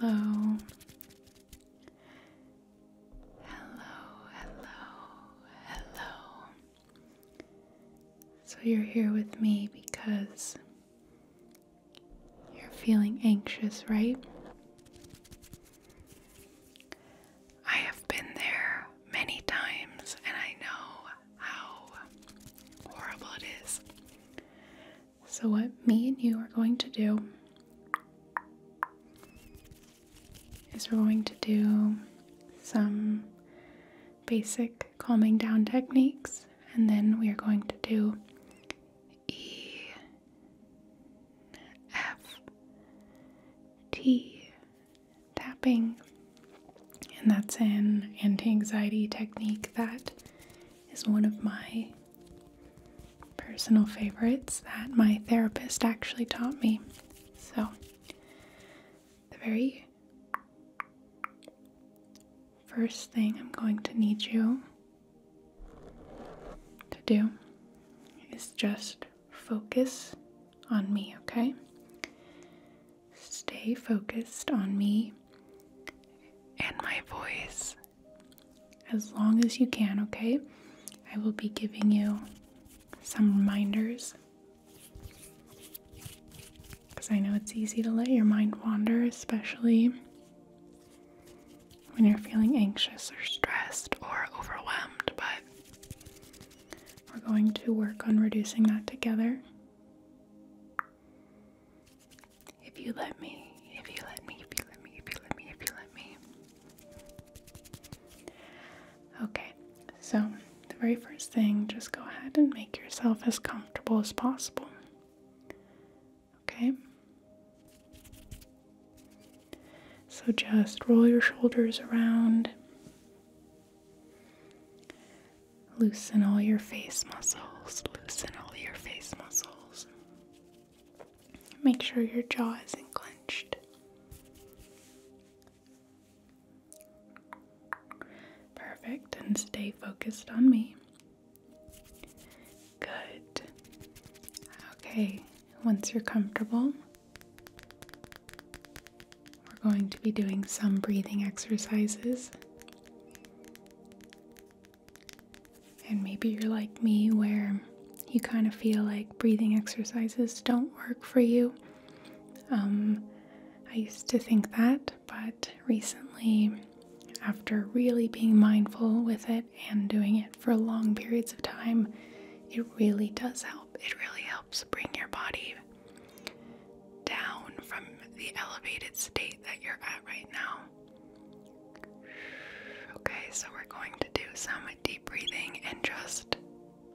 Hello. Hello, hello, hello. So you're here with me because you're feeling anxious, right? I have been there many times and I know how horrible it is. So, what me and you are going to do is we're going to do some basic calming down techniques, and then we are going to do E, F, T tapping and that's an anti anxiety technique that is one of my personal favorites that my therapist actually taught me. So, the very first thing I'm going to need you to do is just focus on me, okay? stay focused on me and my voice as long as you can, okay? I will be giving you some reminders because I know it's easy to let your mind wander, especially when you're feeling anxious or stressed or overwhelmed, but we're going to work on reducing that together. If you let me, if you let me, if you let me, if you let me, if you let me. Okay, so the very first thing, just go ahead and make yourself as comfortable as possible. Okay? So just roll your shoulders around. Loosen all your face muscles. Loosen all your face muscles. Make sure your jaw isn't clenched. Perfect. And stay focused on me. Good. Okay, once you're comfortable, we're going to be doing some breathing exercises. And maybe you're like me, where you kind of feel like breathing exercises don't work for you. Um, I used to think that, but recently, after really being mindful with it and doing it for long periods of time, it really does help. It really helps bring your body down from the elevated state that you're at right now. Okay, so we're going to do some deep breathing and just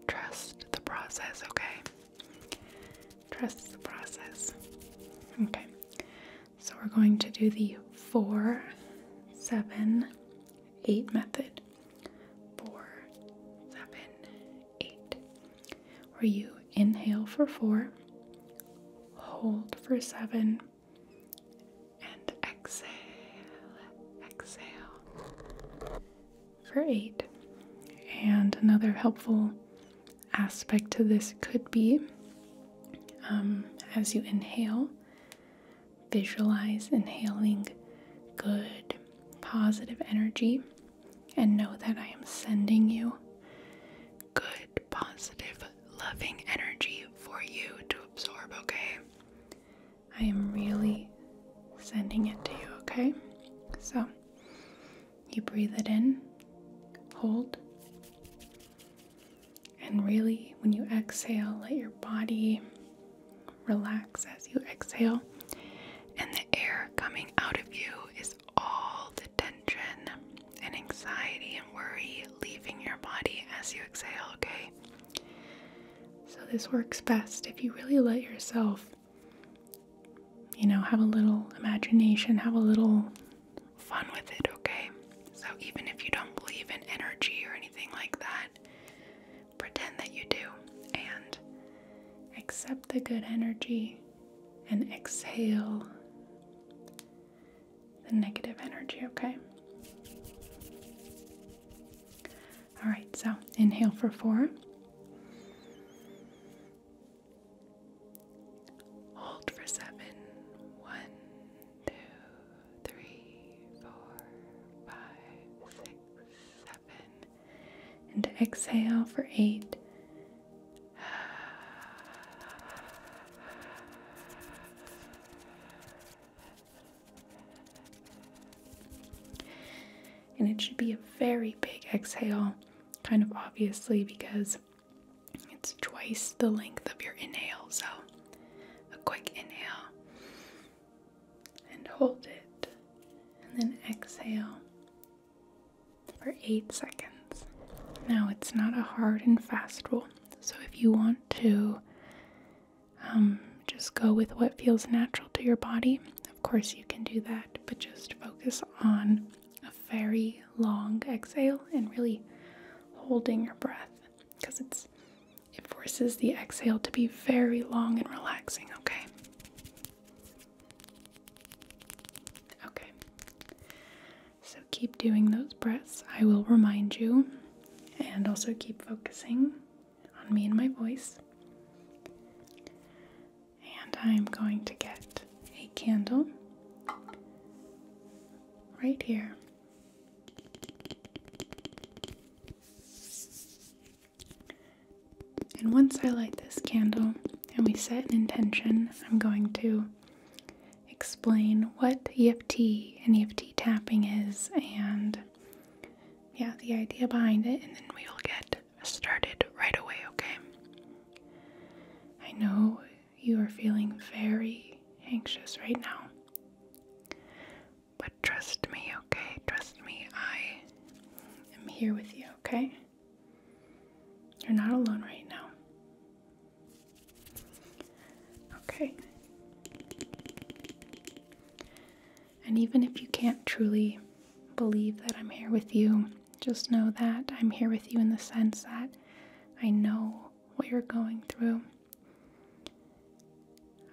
trust the process, okay? Trust the process. Okay, so we're going to do the four, seven, eight method. Four, seven, eight where you inhale for four, hold for seven, and exhale, exhale for eight. And another helpful aspect to this could be um, as you inhale, visualize inhaling good, positive energy and know that I am sending you good, positive, loving energy for you to absorb, okay? I am really sending it to you, okay? So you breathe it in, hold, and really, when you exhale, let your body relax as you exhale and the air coming out of you is all the tension and anxiety and worry leaving your body as you exhale, okay? So, this works best if you really let yourself, you know, have a little imagination, have a little fun with it, okay? So, even if you don't believe in energy or anything like that, pretend that you do and Accept the good energy and exhale the negative energy, okay? All right, so inhale for four. Hold for seven. One, two, three, four, five, six, seven and exhale for eight. And it should be a very big exhale, kind of obviously, because it's twice the length of your inhale. So, a quick inhale and hold it, and then exhale for eight seconds. Now, it's not a hard and fast rule, so if you want to um, just go with what feels natural to your body, of course, you can do that, but just focus on a very long exhale and really holding your breath because it forces the exhale to be very long and relaxing, okay? Okay. So keep doing those breaths. I will remind you. And also keep focusing on me and my voice. And I'm going to get a candle right here. And once I light this candle and we set an intention, I'm going to explain what EFT and EFT tapping is and yeah, the idea behind it, and then we will get started right away, okay? I know you are feeling very anxious right now, but trust me, okay? Trust me, I am here with you, okay? You're not alone right now. Okay. And even if you can't truly believe that I'm here with you, just know that I'm here with you in the sense that I know what you're going through.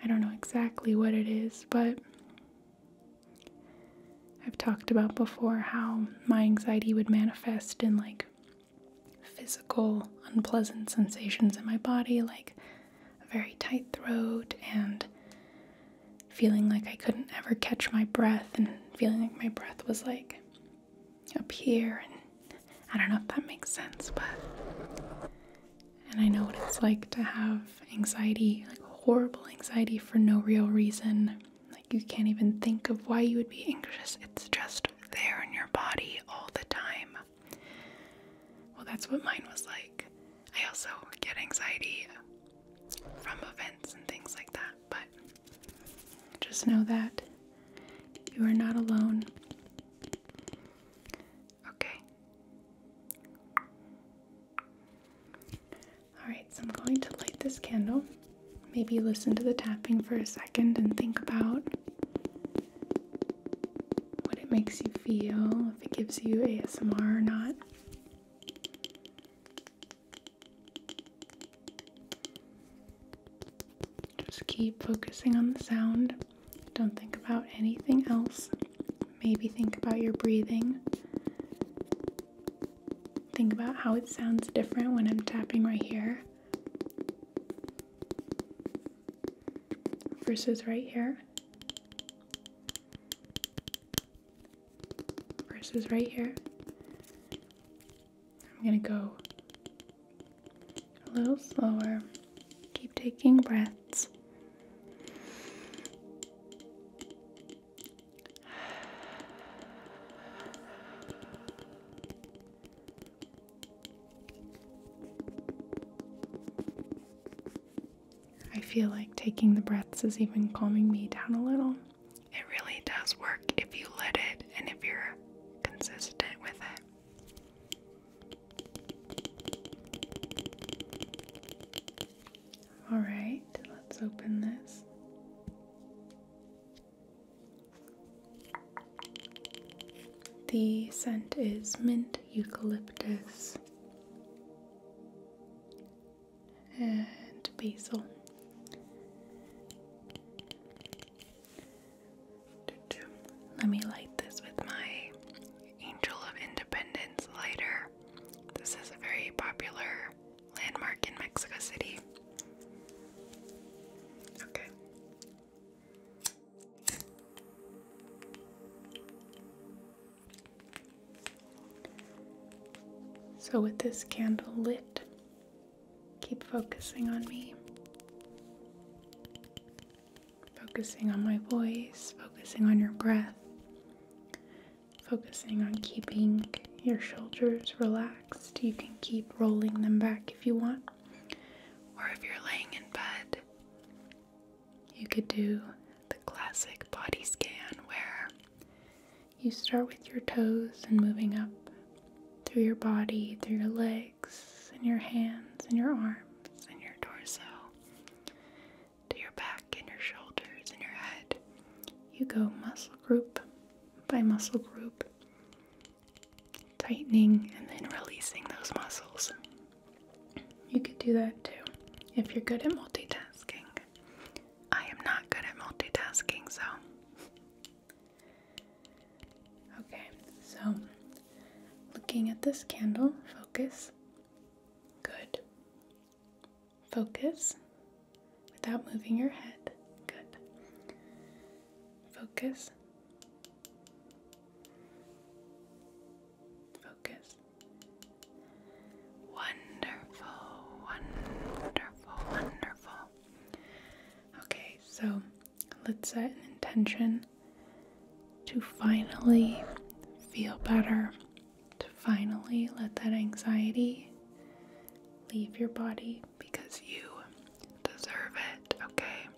I don't know exactly what it is, but I've talked about before how my anxiety would manifest in like physical unpleasant sensations in my body, like a very tight throat and feeling like I couldn't ever catch my breath and feeling like my breath was like up here and I don't know if that makes sense, but and I know what it's like to have anxiety, like horrible anxiety for no real reason. Like you can't even think of why you would be anxious. It's just there in your body all the time. Well, that's what mine was like. I also get anxiety from events and things like that, but just know that you are not alone. Okay. Alright, so I'm going to light this candle. Maybe listen to the tapping for a second and think about what it makes you feel, if it gives you ASMR or not. Just keep focusing on the sound. Don't think about anything else. Maybe think about your breathing. Think about how it sounds different when I'm tapping right here versus right here versus right here. I'm gonna go a little slower. Keep taking breaths. I feel like taking the breaths is even calming me down a little. It really does work if you let it and if you're consistent with it. All right, let's open this. The scent is mint eucalyptus and basil. Let me light this with my Angel of Independence lighter. This is a very popular landmark in Mexico City. Okay. So, with this candle lit, keep focusing on me focusing on my voice, focusing on your breath, focusing on keeping your shoulders relaxed. You can keep rolling them back if you want, or if you're laying in bed, you could do the classic body scan where you start with your toes and moving up through your body, through your legs, and your hands, and your arms, and your torso to your back and your shoulders and your head. You go muscle group by muscle group, tightening and then releasing those muscles. You could do that too if you're good at multitasking. I am not good at multitasking, so. Okay, so looking at this candle, focus Good. Focus without moving your head. Good. Focus. Focus. Wonderful, wonderful, wonderful. Okay, so let's set an intention to finally feel better, to finally let that anxiety leave your body because you deserve it, okay?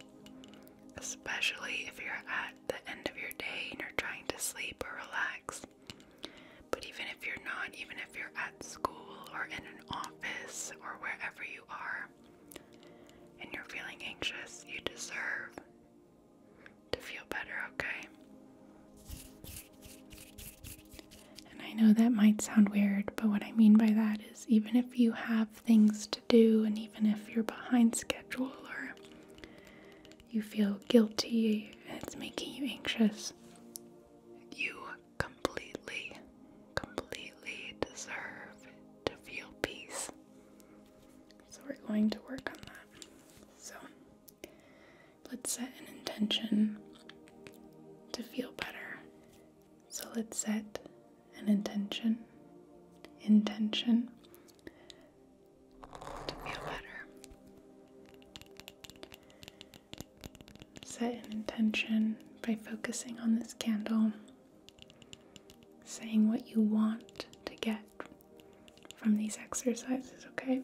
Especially if you're at the end of your day and you're trying to sleep or relax. But even if you're not, even if you're at school or in an office or wherever you are and you're feeling anxious, you deserve to feel better, okay? And I know that might sound weird, but what I mean by that is even if you have things to do, and even if you're behind schedule or you feel guilty and it's making you anxious, you completely, completely deserve to feel peace. So we're going to work on that. So let's set an intention to feel better. So let's set an intention, intention to feel better. Set an intention by focusing on this candle saying what you want to get from these exercises, okay?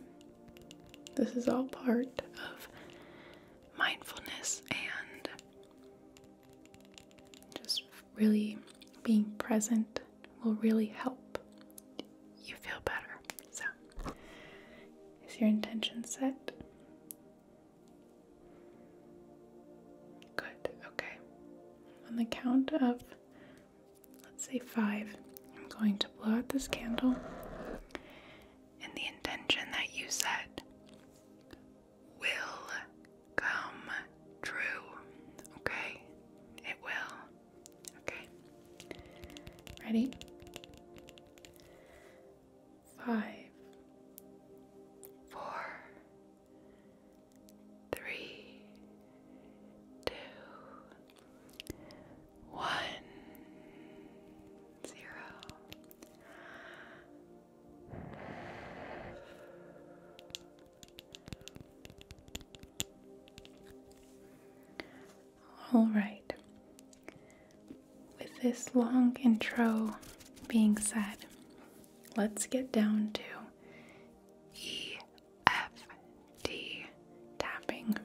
This is all part of mindfulness and just really being present will really help you feel better. So, is your intention set? Good, okay. On the count of let's say five. I'm going to blow out this candle and the intention that you set will come true. Okay? It will. Okay. Ready? Five, four, three, two, one, zero. All right. With this long intro being said, let's get down to EFT tapping.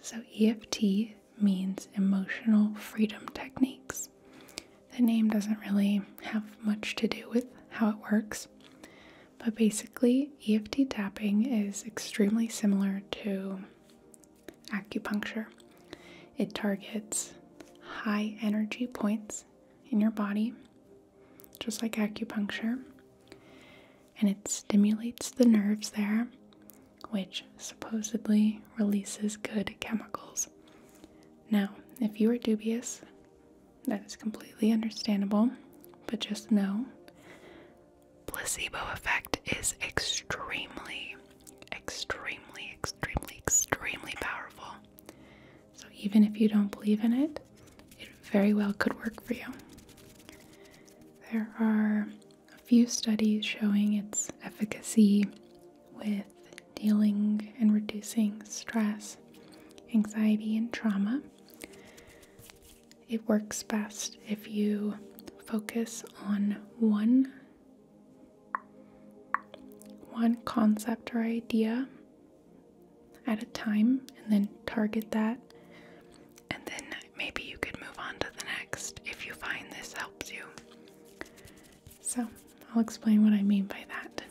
So, EFT means emotional freedom techniques. The name doesn't really have much to do with how it works, but basically, EFT tapping is extremely similar to acupuncture. It targets high energy points in your body, just like acupuncture, and it stimulates the nerves there, which supposedly releases good chemicals. Now, if you are dubious, that is completely understandable, but just know placebo effect is extremely, extremely, extremely, extremely powerful. So even if you don't believe in it, it very well could work for you. There are a few studies showing its efficacy with dealing and reducing stress, anxiety, and trauma. It works best if you focus on one one concept or idea at a time and then target that. And then maybe you could move on to the next if you find this helps you. So, I'll explain what I mean by that.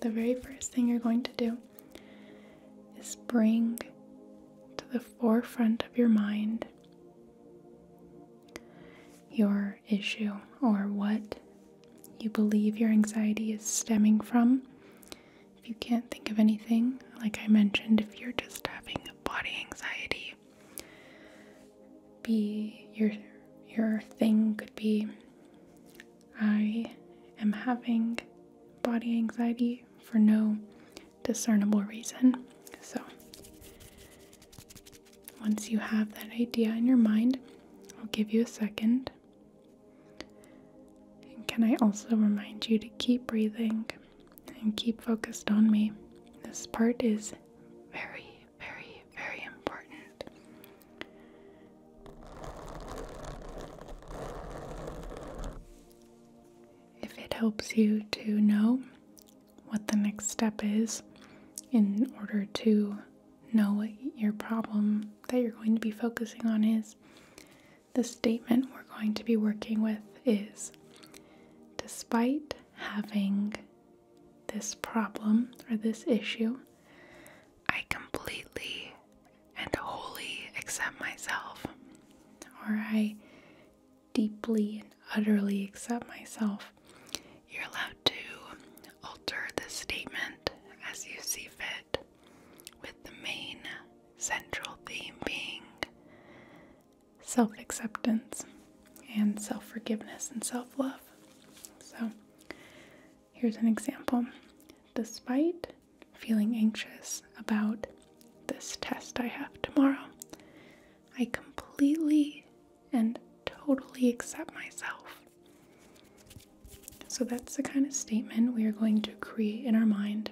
The very first thing you're going to do is bring to the forefront of your mind your issue or what you believe your anxiety is stemming from. If you can't think of anything, like I mentioned, if you're just having body anxiety, be your your thing could be I am having body anxiety for no discernible reason. So once you have that idea in your mind, I'll give you a second. can I also remind you to keep breathing and keep focused on me? This part is very, very, very important. If it helps you to know what the next step is in order to know what your problem that you're going to be focusing on is. The statement we're going to be working with is Despite having this problem or this issue, I completely and wholly accept myself, or I deeply and utterly accept myself you're allowed to alter the statement as you see fit, with the main central theme being self acceptance and self forgiveness and self love. So, here's an example. Despite feeling anxious about this test I have tomorrow, I completely and totally accept myself. So that's the kind of statement we are going to create in our mind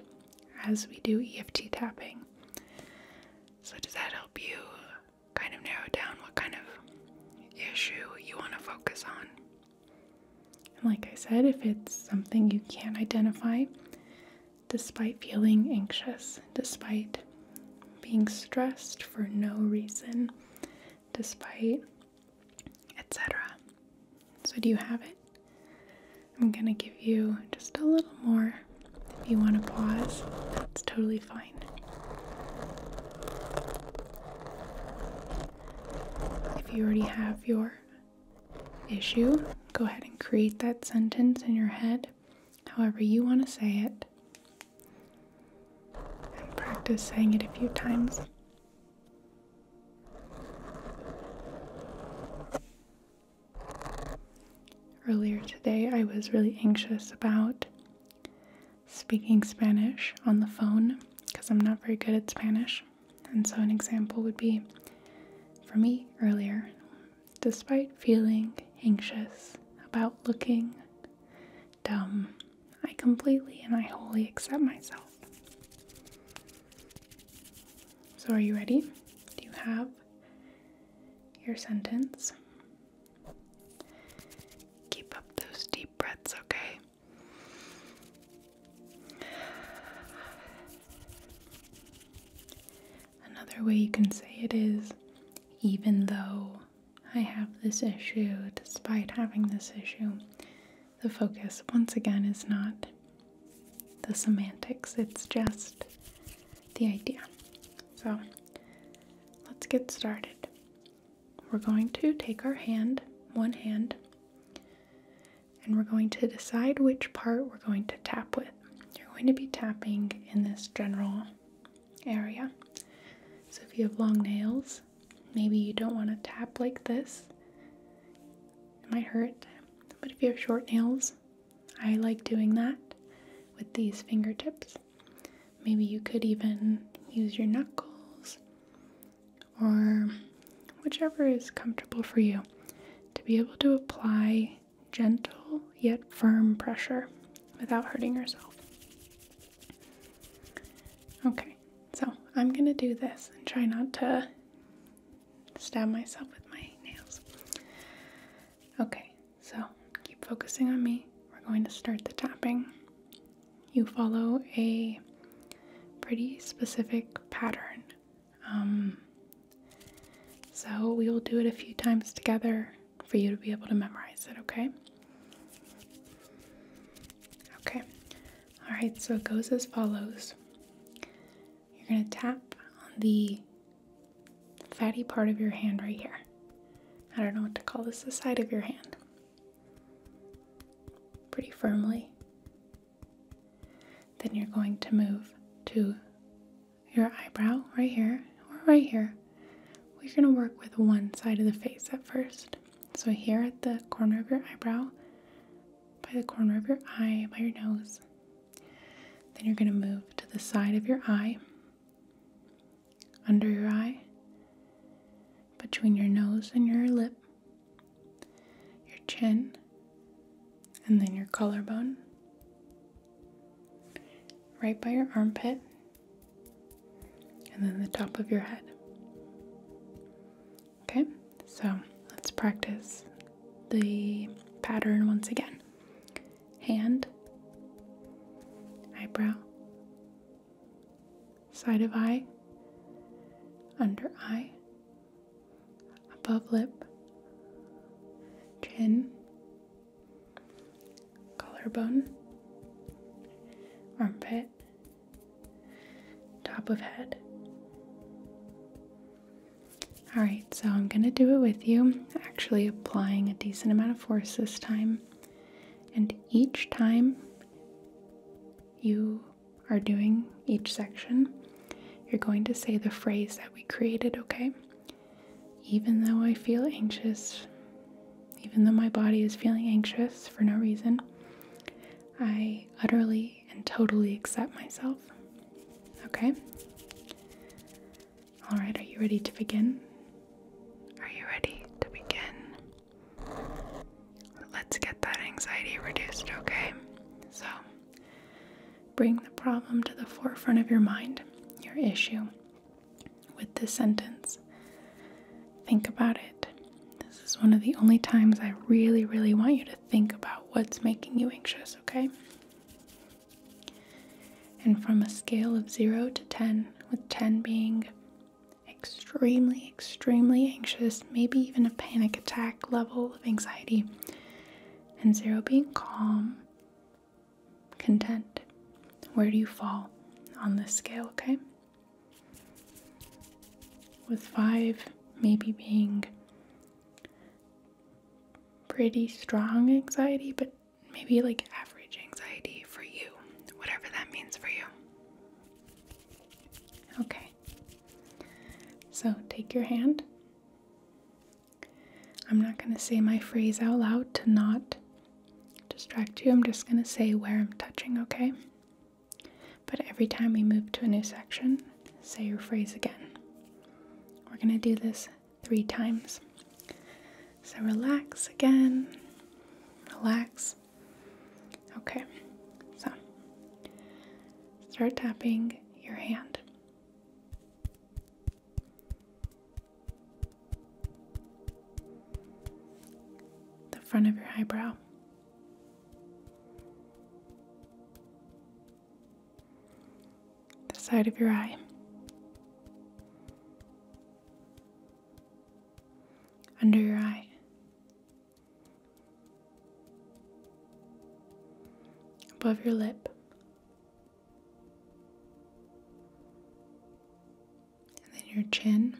as we do EFT tapping. So, does that help you kind of narrow down what kind of issue you want to focus on? like I said, if it's something you can't identify, despite feeling anxious, despite being stressed for no reason, despite, etc. So, do you have it? I'm gonna give you just a little more. If you want to pause, that's totally fine. If you already have your issue, go ahead and create that sentence in your head however you want to say it. And practice saying it a few times. Earlier today, I was really anxious about speaking Spanish on the phone because I'm not very good at Spanish. And so, an example would be for me earlier Despite feeling anxious about looking dumb, I completely and I wholly accept myself. So, are you ready? Do you have your sentence? Keep up those deep breaths, okay? Another way you can say it is even though I have this issue, despite having this issue, the focus, once again, is not the semantics, it's just the idea. So let's get started. We're going to take our hand, one hand, and we're going to decide which part we're going to tap with. You're going to be tapping in this general area. So if you have long nails, maybe you don't want to tap like this. It might hurt. But if you have short nails, I like doing that with these fingertips. Maybe you could even use your knuckles or whichever is comfortable for you to be able to apply gentle yet firm pressure without hurting yourself. Okay, so I'm gonna do this and try not to stab myself with my nails. Okay, so keep focusing on me. We're going to start the tapping. You follow a pretty specific pattern. Um, so we will do it a few times together for you to be able to memorize it, okay? Okay, all right, so it goes as follows you're gonna tap on the fatty part of your hand right here. I don't know what to call this, the side of your hand. Pretty firmly. Then you're going to move to your eyebrow right here or right here, we're going to work with one side of the face at first. So, here at the corner of your eyebrow, by the corner of your eye, by your nose. Then you're going to move to the side of your eye, under your eye, between your nose and your lip, your chin, and then your collarbone, right by your armpit, and then the top of your head. Okay, so let's practice the pattern once again hand, eyebrow, side of eye, under eye, above lip, chin, collarbone, armpit, top of head. All right, so I'm gonna do it with you, actually applying a decent amount of force this time. And each time you are doing each section, you're going to say the phrase that we created, okay? Even though I feel anxious, even though my body is feeling anxious for no reason, I utterly and totally accept myself. Okay? All right, are you ready to begin? Are you ready to begin? Let's get that anxiety reduced, okay? So, Bring the problem to the forefront of your mind, your issue, with this sentence. Think about it. This is one of the only times I really, really want you to think about what's making you anxious, okay? And from a scale of 0 to 10, with 10 being extremely, extremely anxious, maybe even a panic attack level of anxiety, and zero being calm, content? Where do you fall on this scale, okay? With five maybe being pretty strong anxiety, but maybe like average anxiety for you, whatever that means for you. Okay. So take your hand I'm not going to say my phrase out loud to not distract you. I'm just going to say where I'm touching, okay? But every time we move to a new section, say your phrase again. We're going to do this three times. So relax again. Relax. Okay. So start tapping your hand the front of your eyebrow. The side of your eye, under your eye, above your lip, and then your chin.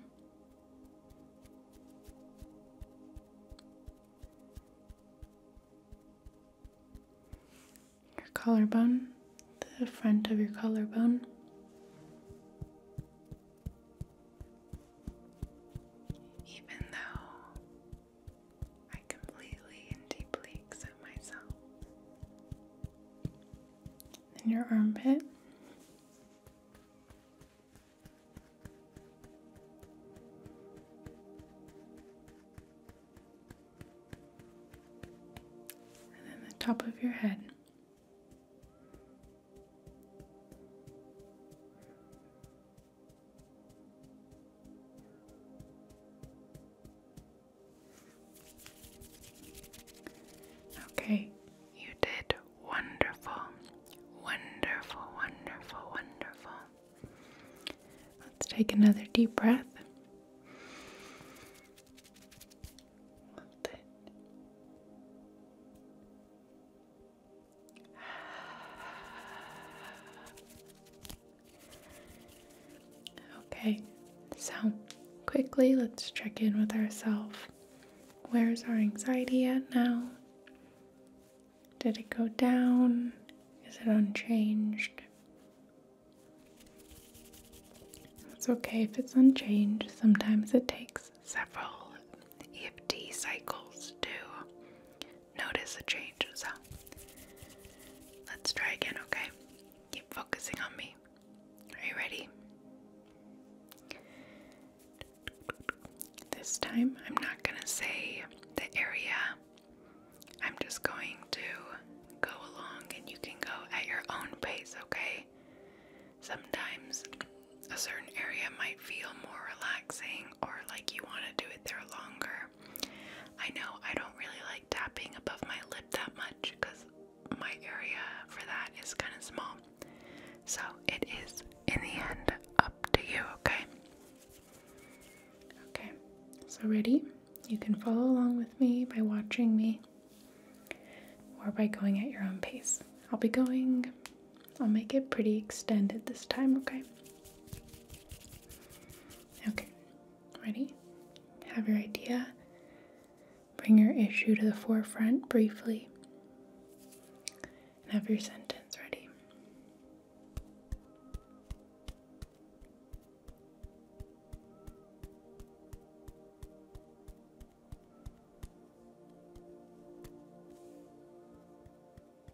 Your collarbone, the front of your collarbone, I completely and deeply accept myself. Then your armpit. And then the top of your head. Okay, you did wonderful, wonderful, wonderful, wonderful. Let's take another deep breath. Hold it. Okay, so quickly let's check in with ourselves. Where's our anxiety at now? Did it go down? Is it unchanged? It's okay if it's unchanged. Sometimes it takes several EFT cycles to notice a change, so let's try again, okay? Keep focusing on me. Are you ready? This time, I'm not going to say the area. I'm just going to go along and you can go at your own pace, okay? Sometimes a certain area might feel more relaxing or like you want to do it there longer. I know I don't really like tapping above my lip that much because my area for that is kind of small. So it is, in the end, up to you, okay? Okay, so ready? You can follow along with me by watching me or by going at your own pace. I'll be going, I'll make it pretty extended this time, okay? Okay, Ready? Have your idea. Bring your issue to the forefront briefly. And have your sentence ready.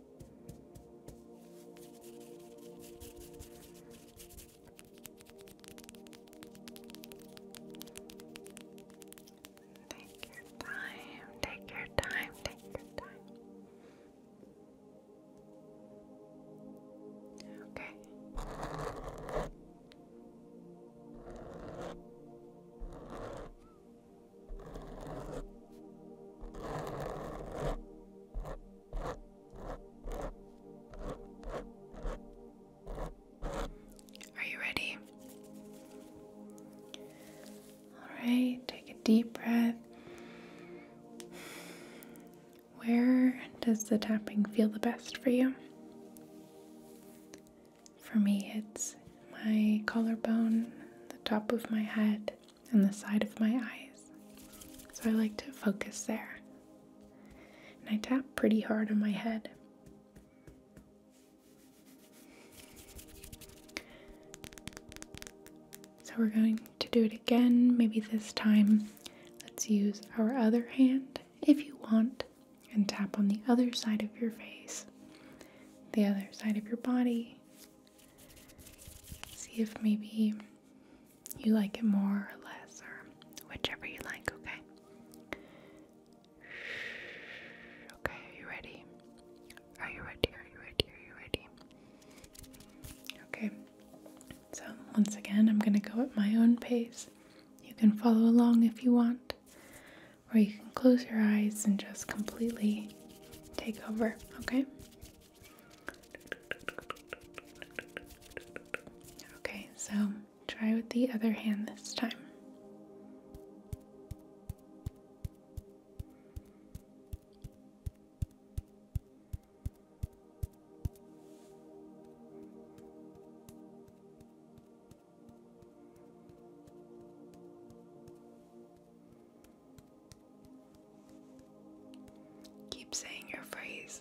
Take your time, take your time, take your time. Okay. Are you ready? All right, take a deep breath. Where does the tapping feel the best for you? For me, it's my collarbone, the top of my head, and the side of my eyes. So I like to focus there. And I tap pretty hard on my head. So we're going to do it again. Maybe this time, let's use our other hand if you want and tap on the other side of your face, the other side of your body, See if maybe you like it more or less, or whichever you like, okay? Okay, are you ready? Are you ready? Are you ready? Are you ready? Okay, so once again, I'm gonna go at my own pace. You can follow along if you want, or you can close your eyes and just completely take over, okay? Okay, so try with the other hand this time. Keep saying your phrase.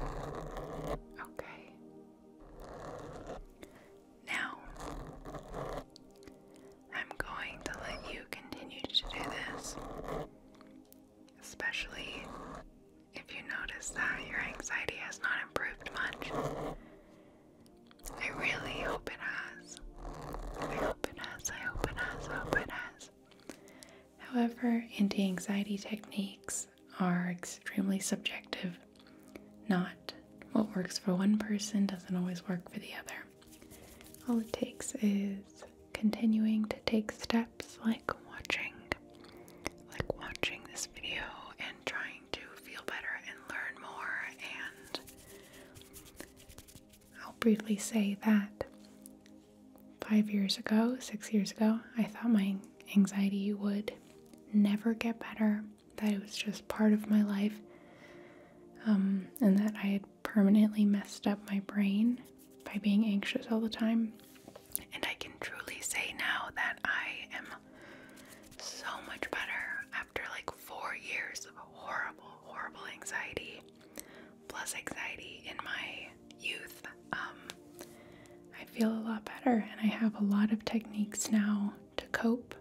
Okay. Now, I'm going to let you continue to do this, especially if you notice that your anxiety has not improved much. I really hope it has. I hope it has, I hope it has, hope it has. However, anti anxiety techniques are extremely subjective. Not what works for one person doesn't always work for the other. All it takes is continuing to take steps like watching, like watching this video and trying to feel better and learn more. And I'll briefly say that five years ago, six years ago, I thought my anxiety would never get better, that it was just part of my life, um, and that I had permanently messed up my brain by being anxious all the time. And I can truly say now that I am so much better after like four years of horrible, horrible anxiety, plus anxiety in my youth, um, I feel a lot better and I have a lot of techniques now to cope,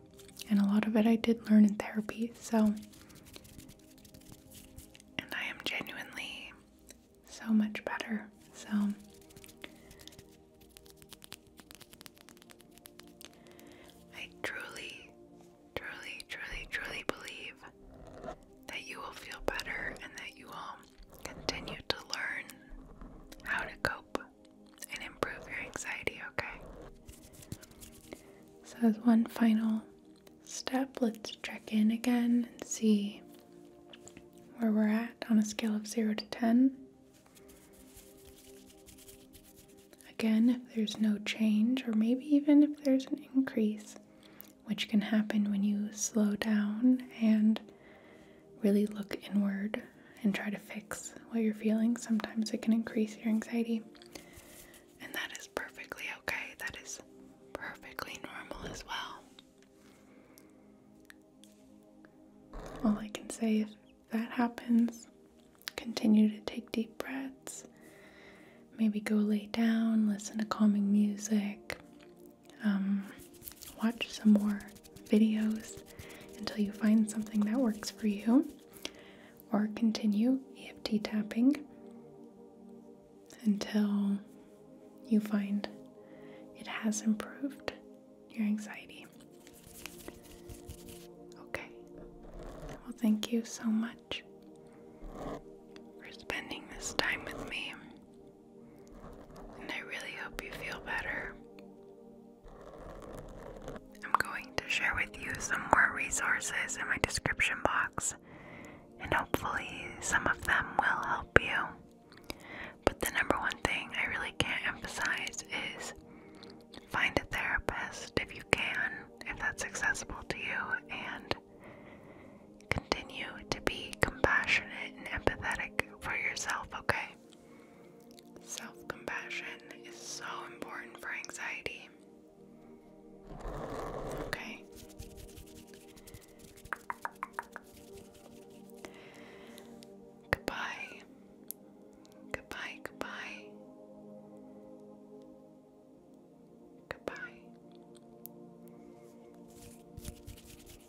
and a lot of it I did learn in therapy. So, and I am genuinely so much better. So, I truly, truly, truly, truly believe that you will feel better and that you will continue to learn how to cope and improve your anxiety, okay? So, as one final step, let's check in again and see where we're at on a scale of 0 to 10. Again, if there's no change, or maybe even if there's an increase, which can happen when you slow down and really look inward and try to fix what you're feeling, sometimes it can increase your anxiety. And that is perfectly okay. That is perfectly normal as well. All I can say if that happens, continue to take deep breaths. Maybe go lay down, listen to calming music, um, watch some more videos until you find something that works for you, or continue EFT tapping until you find it has improved your anxiety. Okay. Well, thank you so much for spending this time with me and I really hope you feel better. I'm going to share with you some more resources in my description box, and hopefully, some of them will help you. But the number one thing I really can't emphasize is find a therapist if you can, if that's accessible to you, and Continue to be compassionate and empathetic for yourself, okay? Self compassion is so important for anxiety. Okay. Goodbye. Goodbye, goodbye. Goodbye.